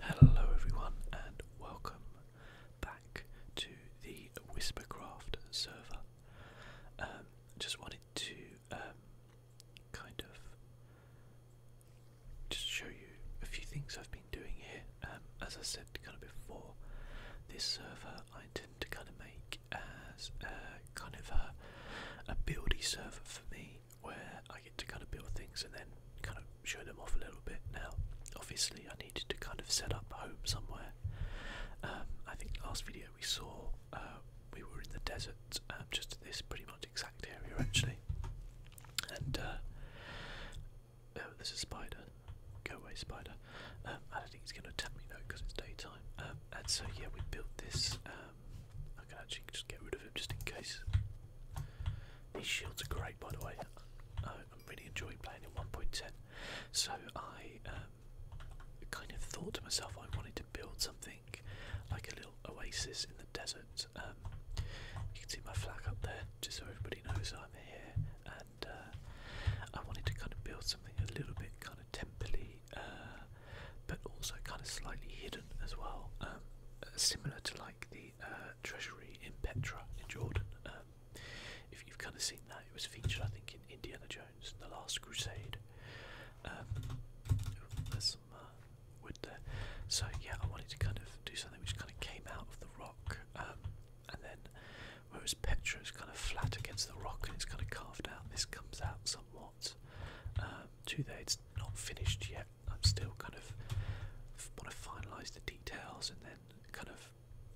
Hello everyone and welcome back to the Whispercraft server. Um, just wanted to um, kind of just show you a few things I've been doing here. Um, as I said kind of before, this server I intend to kind of make as uh, kind of a, a buildy server for me where I get to kind of build things and then kind of show them off a little bit. Now, obviously, I needed to kind of set up home somewhere. Um, I think last video we saw uh, we were in the desert, um, just this pretty much exact area actually. And uh, oh, there's a spider. Go away, spider. Um, I don't think it's going to attack me though because it's daytime. and so yeah, we built this. I can actually just get rid of him just in case. These shields are great, by the way. I, am really enjoying playing in 1.10. So I um, kind of thought to myself I wanted to build something like a little oasis in the desert. Um, you can see my flag up there, just so everybody knows I'm here. And uh, I wanted to kind of build something a little bit kind of templey, uh, but also kind of slightly hidden as well, um, similar to like the. Uh, treasury in Petra in Jordan. Um, if you've kind of seen that, it was featured, I think, in Indiana Jones: The Last Crusade. Um, there's some uh, wood there. So yeah, I wanted to kind of do something which kind of came out of the rock, um, and then whereas Petra is kind of flat against the rock and it's kind of carved out, this comes out somewhat. to there, it's not finished yet. I'm still kind of want to finalise the details and then kind of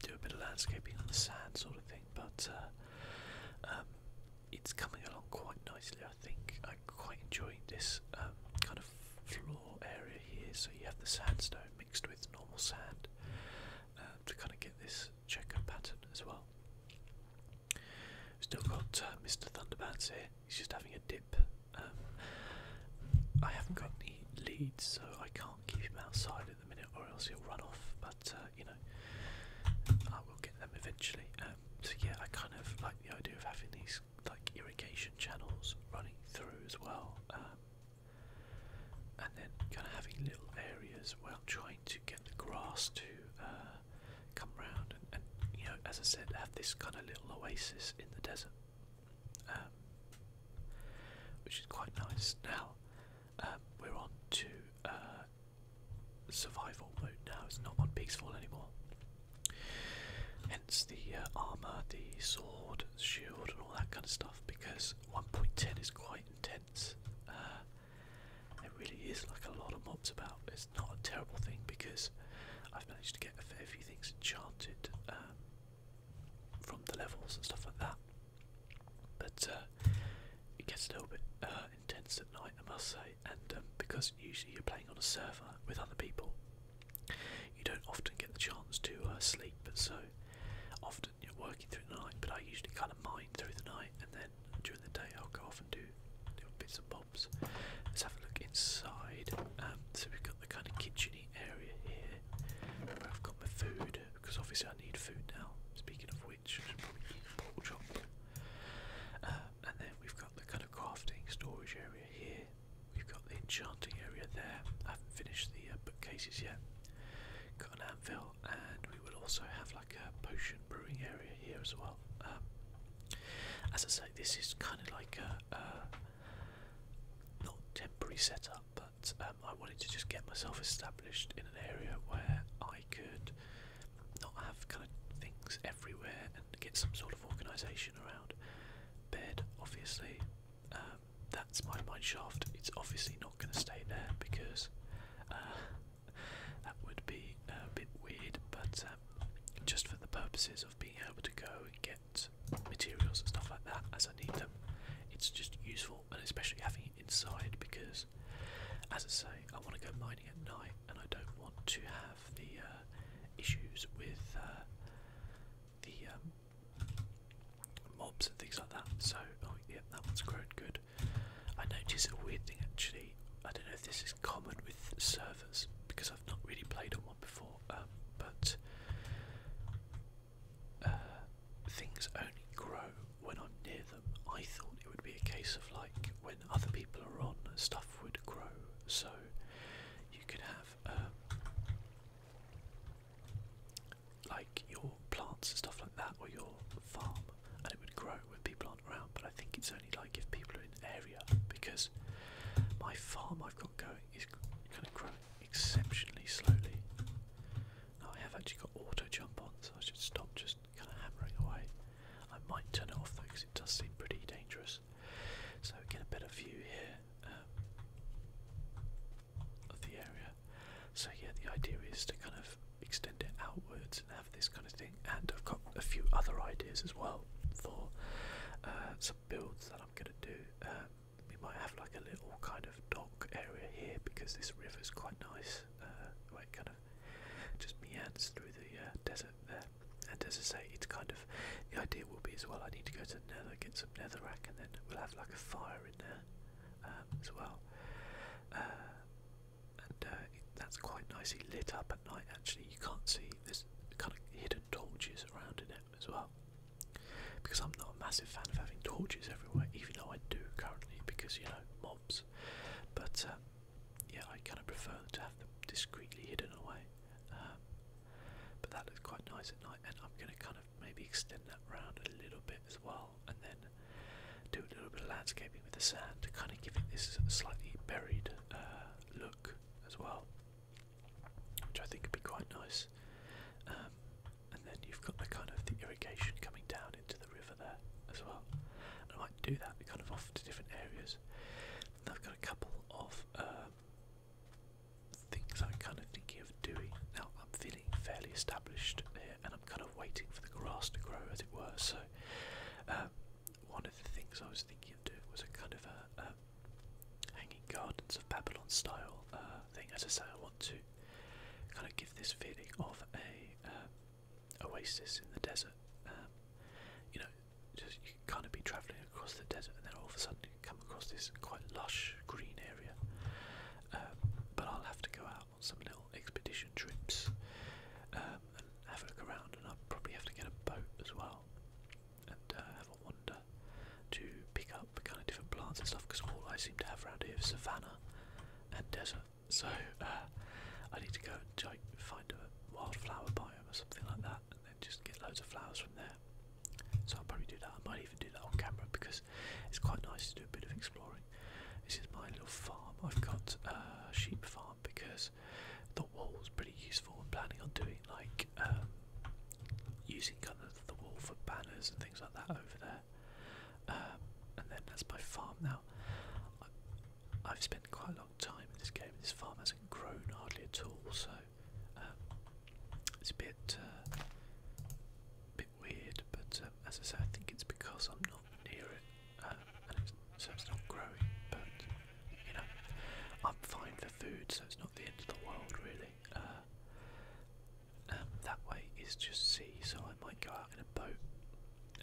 do a bit of landscaping on the sand sort of thing. But uh, um, it's coming along quite nicely, I think. i quite enjoy this um, kind of floor area here. So you have the sandstone mixed with normal sand um, to kind of get this checker pattern as well. Still got uh, Mr. Thunderbats here he's just having a dip. Um, I haven't got any leads, so I can't keep him outside at the minute, or else he'll run off. But uh, you know, I will get them eventually. Um, so yeah, I kind of like the idea of having these like irrigation channels running through as well, um, and then kind of having little areas where I'm trying to get the grass to uh, come round and you know, as I said, have this kind of little oasis in the desert. Um, which is quite nice. Now um, we're on to uh, survival mode. Now it's not on peaceful anymore. Hence the uh, armor, the sword, shield, and all that kind of stuff. Because 1.10 is quite intense. Uh, it really is like a lot of mobs about. It's not a terrible thing because I've managed to get a fair few things enchanted from the levels and stuff like that. But uh, it gets a little bit uh, intense at night, I must say. And um, because usually you're playing on a server with other people, you don't often get the chance to uh, sleep. So often you're working through the night, but I usually kind of mine through the night, and then during the day I'll go off and do little bits and bobs. Let's have a look inside. Um, so we've got the kind of kitchen area here where I've got my food because obviously I need food now. Speaking of which, um, and then we've got the kind of crafting storage area here. We've got the enchanting area there. I haven't finished the uh, bookcases yet. Got an anvil, and we will also have like a potion brewing area here as well. Um, as I say, this is kind of like a not temporary setup, but um, I wanted to just get myself established in an area where I could not have kind of things everywhere and get some sort of organisation around. Bed, obviously, um, that's my mind shaft. It's obviously not going to stay there because uh, that would be a bit weird, but um, just for the purposes of being able to go and get materials and stuff like that as I need them. It's just useful, and especially having it inside because, as I say, I want to go mining at night, and I don't want to have the uh, issues with uh, the um, mobs and things like that. So, oh yeah, that one's grown good. I noticed a weird thing actually. I don't know if this is common with servers because I've not really played on one before, um, but uh, things only grow when I'm near them. I thought it would be a case of like when other people are on, stuff would grow. So you could have um, like your plants and stuff like that, or your farm, and it would grow when people aren't around. But I think it's only like if people are in the area because my farm I've got going is going to grow exceptionally slowly. I have actually got auto jump on, so I should stop just kind of hammering away. I might turn it off though, because it does seem pretty dangerous. So get a better view here um, of the area. So yeah, the idea is to kind of extend it outwards and have this kind of thing. And I've got a few other ideas as well for uh, some builds that I'm going to do. Um, we might have like a little kind of dock area here because this river's quite nice. Uh, where it kind of just meanders through the uh, desert there. And as I say, it's kind of the idea will be as well. I need to go to Nether, get some Nether Netherrack, and then we'll have like a fire in there um, as well. Uh, and uh, that's quite nicely lit up at night. Actually, you can't see there's kind of hidden torches around in it as well. Because I'm not a massive fan of having torches everywhere, even though I do currently, because you know, mobs. But uh, yeah, I kind of prefer to have them discreetly hidden away. Um, but that looks quite nice at night, and I'm going to kind of maybe extend that round a little bit as well, and then do a little bit of landscaping with the sand to kind of give it this slightly buried uh, look as well which I think would be quite nice. Um, and then you've got the kind of the irrigation coming down into the river there as well. And I might do that kind of off to different areas. And I've got a couple of um, things I'm kind of thinking of doing. Now I'm feeling fairly established here, and I'm kind of waiting for the grass to grow, as it were. So um, one of the things I was thinking of doing was a kind of a, a Hanging Gardens of Babylon style uh, thing. As I say, I want to kind of give this feeling of a uh, oasis in the desert. Um, you know, just kind of be travelling across the desert, and then all of a sudden you come across this quite lush green area. Um, but I'll have to go out on some little expedition trips um, and have a look around, and I'll probably have to get a boat as well and uh, have a wander to pick up kind of different plants and stuff because all I seem to have around here is savannah and desert. So uh, I need to go and find a wildflower biome or something like that and then just get loads of flowers from there. So I'll probably do that. I might even do that on camera because it's quite nice to do a bit of exploring. This is my little farm. I've got uh, a sheep farm because the wall's pretty useful. I'm planning on doing like like um, using kind of the wall for banners and things like that over there. Um, and then that's my farm. Now, I, I've spent quite a long time in this game. This farm hasn't grown hardly at all, so um, it's a bit, uh, bit weird. But um, as I say, I think it's because I'm not near it, um, and it's, so it's not growing. But you know, I'm fine for food, so it's not the end of the world, really. Uh, um, that way is just sea, so I might go out in a boat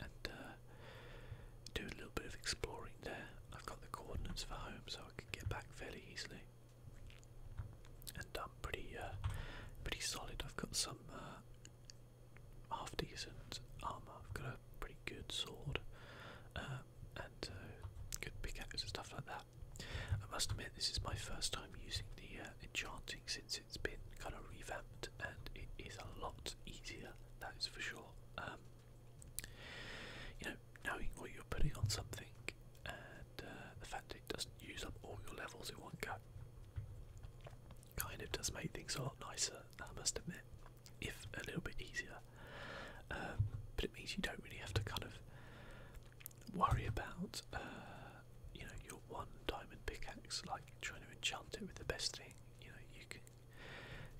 and uh, do a little bit of exploring there. I've got the coordinates for home, so I can get back fairly easily. And I'm pretty, uh, pretty solid. I've got some half decent armor. I've got a pretty good sword and uh, good pickaxe and stuff like that. I must admit, this is my first time using the uh, enchanting since it's been kind of revamped, and it is a lot easier, that is for sure. Um, you know, knowing what you're putting on something and uh, the fact it doesn't use up all your levels in one go kind of does make things a lot nicer, I must admit, if a little bit easier. Um, but it means you don't really have to kind of worry about uh, you know your one diamond pickaxe, like trying to enchant it with the best thing. You know, you can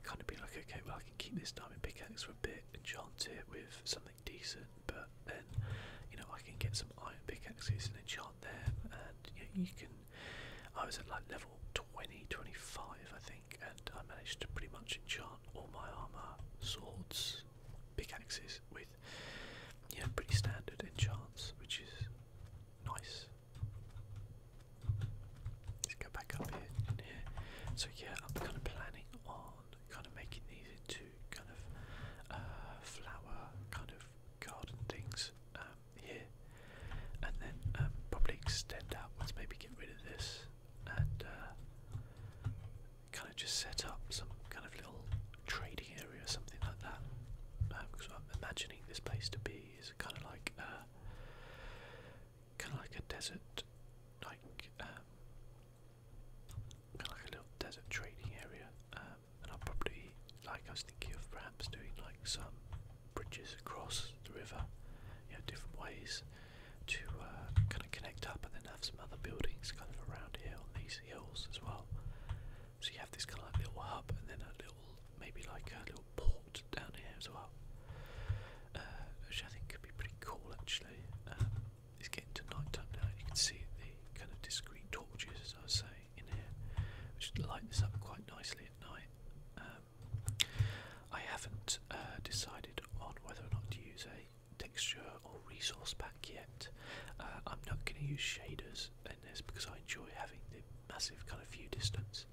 kind of be like, okay, well I can keep this diamond pickaxe for a bit, enchant it with something decent, but then you know I can get some iron pickaxes and enchant them, and you, you can. I was at like level 20, 25 I think, and I managed to pretty much enchant all my armor, swords, pickaxes with yeah pretty standard enchants, which is nice. Let's go back up here So yeah, I'm kind of planning on kind of making these into kind of uh, flower kind of garden things um, here, and then um, probably extend outwards. Maybe get rid of this and uh, kind of just set up some kind of little trading area or something like that. Because um, I'm imagining this place to be is kind of like uh, kind of like a desert, like um, kind of like a little desert trading area. Um, and i am probably like I was thinking of perhaps doing like some bridges across the river, you know, different ways to uh, kind of connect up and then have some other buildings kind of around here on these hills as well. So you have this kind of little hub and then a little, maybe like a little port down here as well, uh, which I think could be pretty cool actually. Um, it's getting to nighttime now and you can see the kind of discrete torches as I was saying in here, which light this up quite nicely at night. Um, I haven't uh, decided on whether or not to use a texture or resource pack yet. Uh, I'm not going to use shaders in this because I enjoy having the massive kind of view distance.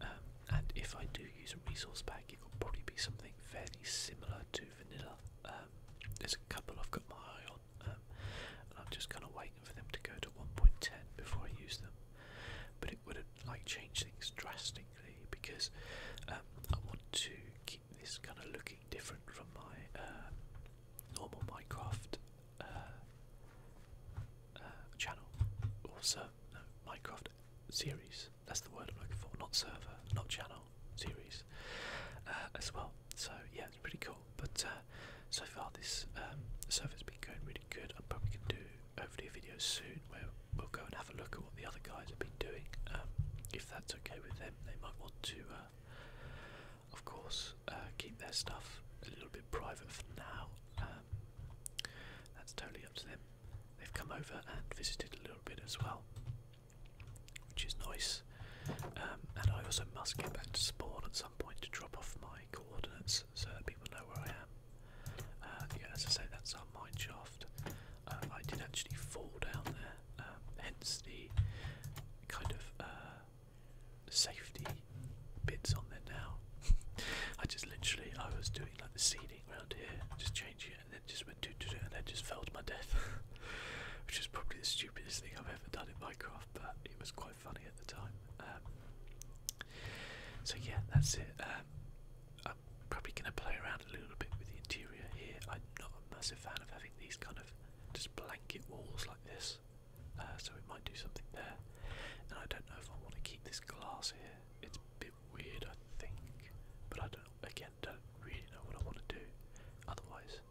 Um, and if I do use a resource pack, it will probably be something fairly similar to vanilla. Um, there's a couple I've got my eye on, um, and I'm just kind of waiting for them to go to 1.10 before I use them. But it wouldn't like change things drastically because I want to keep this kind of looking different from my uh, normal Minecraft uh, uh, channel also Minecraft series. That's the word I'm looking for. Not server, not channel, series as well. So yeah, it's pretty cool. But so far this um, server's been going really good. I'm probably gonna do hopefully a video soon where we'll go and have a look at what the other guys have been doing, um, if that's okay with them they might want to, uh, of course, uh, keep their stuff a little bit private for now. Um, that's totally up to them. They've come over and visited a little bit as well, which is nice. Um, and I also must get back to spawn at some point to drop off my coordinates so that people know where I am. Uh, yeah, as I say, that's our mineshaft. Um, I did actually fall down there, um, hence the kind of uh, safety bits on there now. I just literally, I was doing like the seeding around here, just changing it, and then just went to do it, and then just fell to my death, which is probably the stupidest thing I've ever done in Minecraft, but it was quite funny at the time. Um, so yeah, that's it. I'm probably going to play around a little bit with the interior here. I'm not a massive fan of having these kind of just blanket walls like this, uh, so we might do something there. And I don't know if I want to keep this glass here. It's a bit weird, I think, but I don't again don't really know what I want to do otherwise.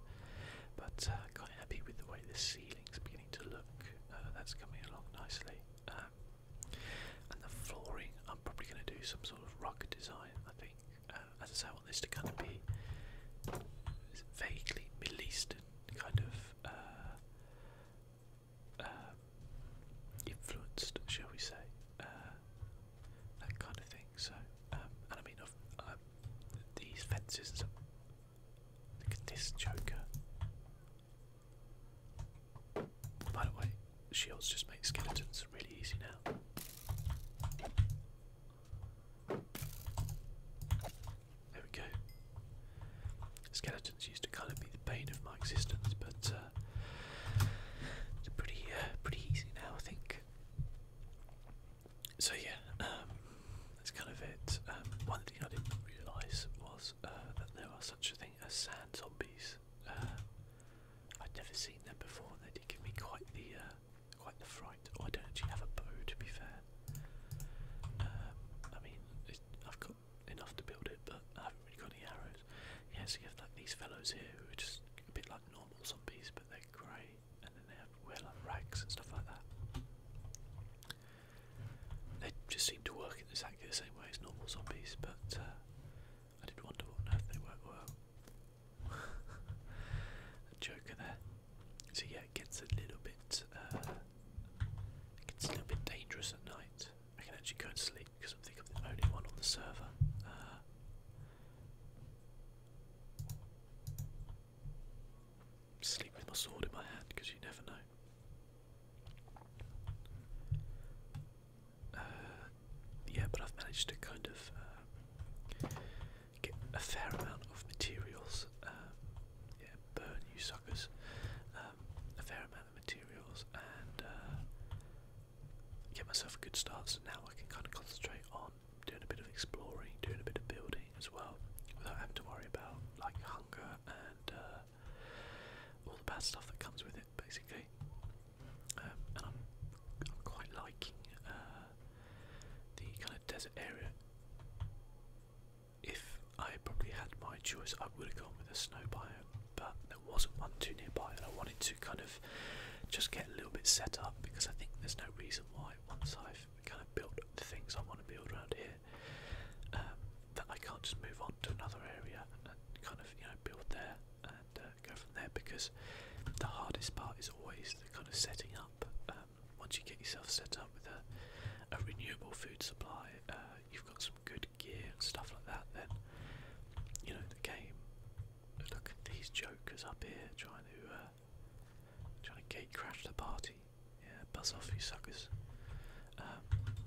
But uh, quite happy with the way the ceiling's beginning to look. Uh, that's coming along nicely. Um, and the flooring, I'm probably going to do some sort of rug design, I think. Uh, as I want this to kind of be vaguely Middle Eastern kind of uh, uh, influenced, shall we say, that kind of thing. So, um, and I mean, i these fences and stuff. Look at this Joker. By the way, shields just make skeletons really easy now. There we go. Skeletons used to kind of be the bane of my existence, but uh, it's pretty, uh, pretty easy now, I think. So yeah, um, that's kind of it. Um, one thing I didn't realise was uh, that there are such a thing as sand zombies. Uh, I'd never seen them before, they did give me quite the quite the fright. Oh, I don't actually have a bow, to be fair. Um, I mean, it, I've got enough to build it, but I haven't really got any arrows. Yeah, so you have like these fellows here who are just a bit like normal zombies, but they're grey, and then they have wear like rags and stuff like that. They just seem to work in exactly the same way as normal zombies, but uh, I did wonder what on earth they work well. joker there. So yeah, it gets a little bit, uh, gets a little bit dangerous at night. I can actually go and sleep because I think I'm the only one on the server. Uh, sleep with my sword in my hand because you never know. Uh, yeah, but I've managed to kind of uh, get a fair amount of materials. Um, yeah, burn you suckers. Um, a fair amount of materials and uh, get myself a good start. So now I can kind of concentrate on doing a bit of exploring, doing a bit of building as well, without having to worry about like hunger and uh, all the bad stuff that comes with it, basically um, and I'm, I'm quite liking uh, the kind of desert area. If I probably had my choice, I would have gone with a snow biome, but there wasn't one too nearby, and I wanted to kind of just get a little bit set up because I think there's no reason why once I've kind of built the things I want to build around here, um, that I can't just move on to another area and kind of you know build there. Um, uh, go from there because the hardest part is always the kind of setting up. Um, once you get yourself set up with a, renewable food supply, uh, you've got some good gear and stuff like that, then you know the game. Look at these jokers up here trying to uh, trying to gate crash the party. Yeah, buzz off you suckers. Um,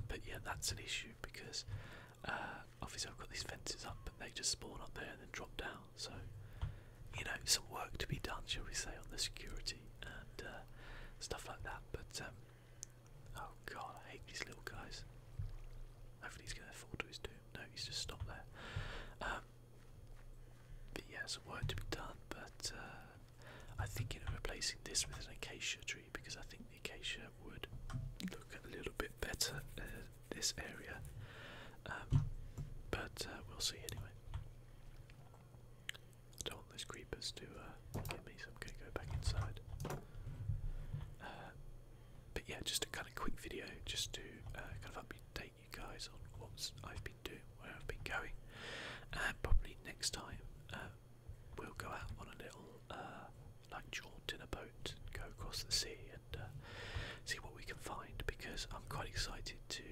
but yeah, that's an issue because obviously I've got these fences up, but they just spawn up there and then drop down. So, you know, some work to be done, shall we say, on the security and uh, stuff like that. But um, oh god, I hate these little guys. Hopefully, he's going to fall to his doom. No, he's just stopped there. Um, but yeah, some work to be done. But uh, I'm thinking of replacing this with an acacia tree because I think the acacia would look a little bit better uh, this area. Um, but uh, we'll see anyway. don't want those creepers to uh, get me, so I'm going to go back inside. Uh, but yeah, just a kind of quick video, just to kind of update you guys on what I've been doing, where I've been going, and probably next time we'll go out on a little like jaunt in a boat, go across the sea, uh, see what we can find because I'm quite excited to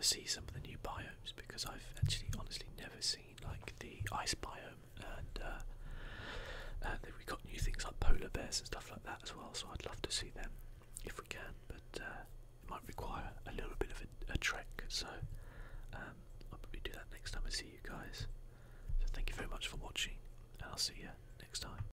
see some of the new biomes because I've actually honestly never seen like the ice biome and uh, and uh, then we got new things like polar bears and stuff like that as well so I'd love to see them if we can but uh, it might require a little bit of a, trek so um, I'll probably do that next time I see you guys so thank you very much for watching and I'll see you next time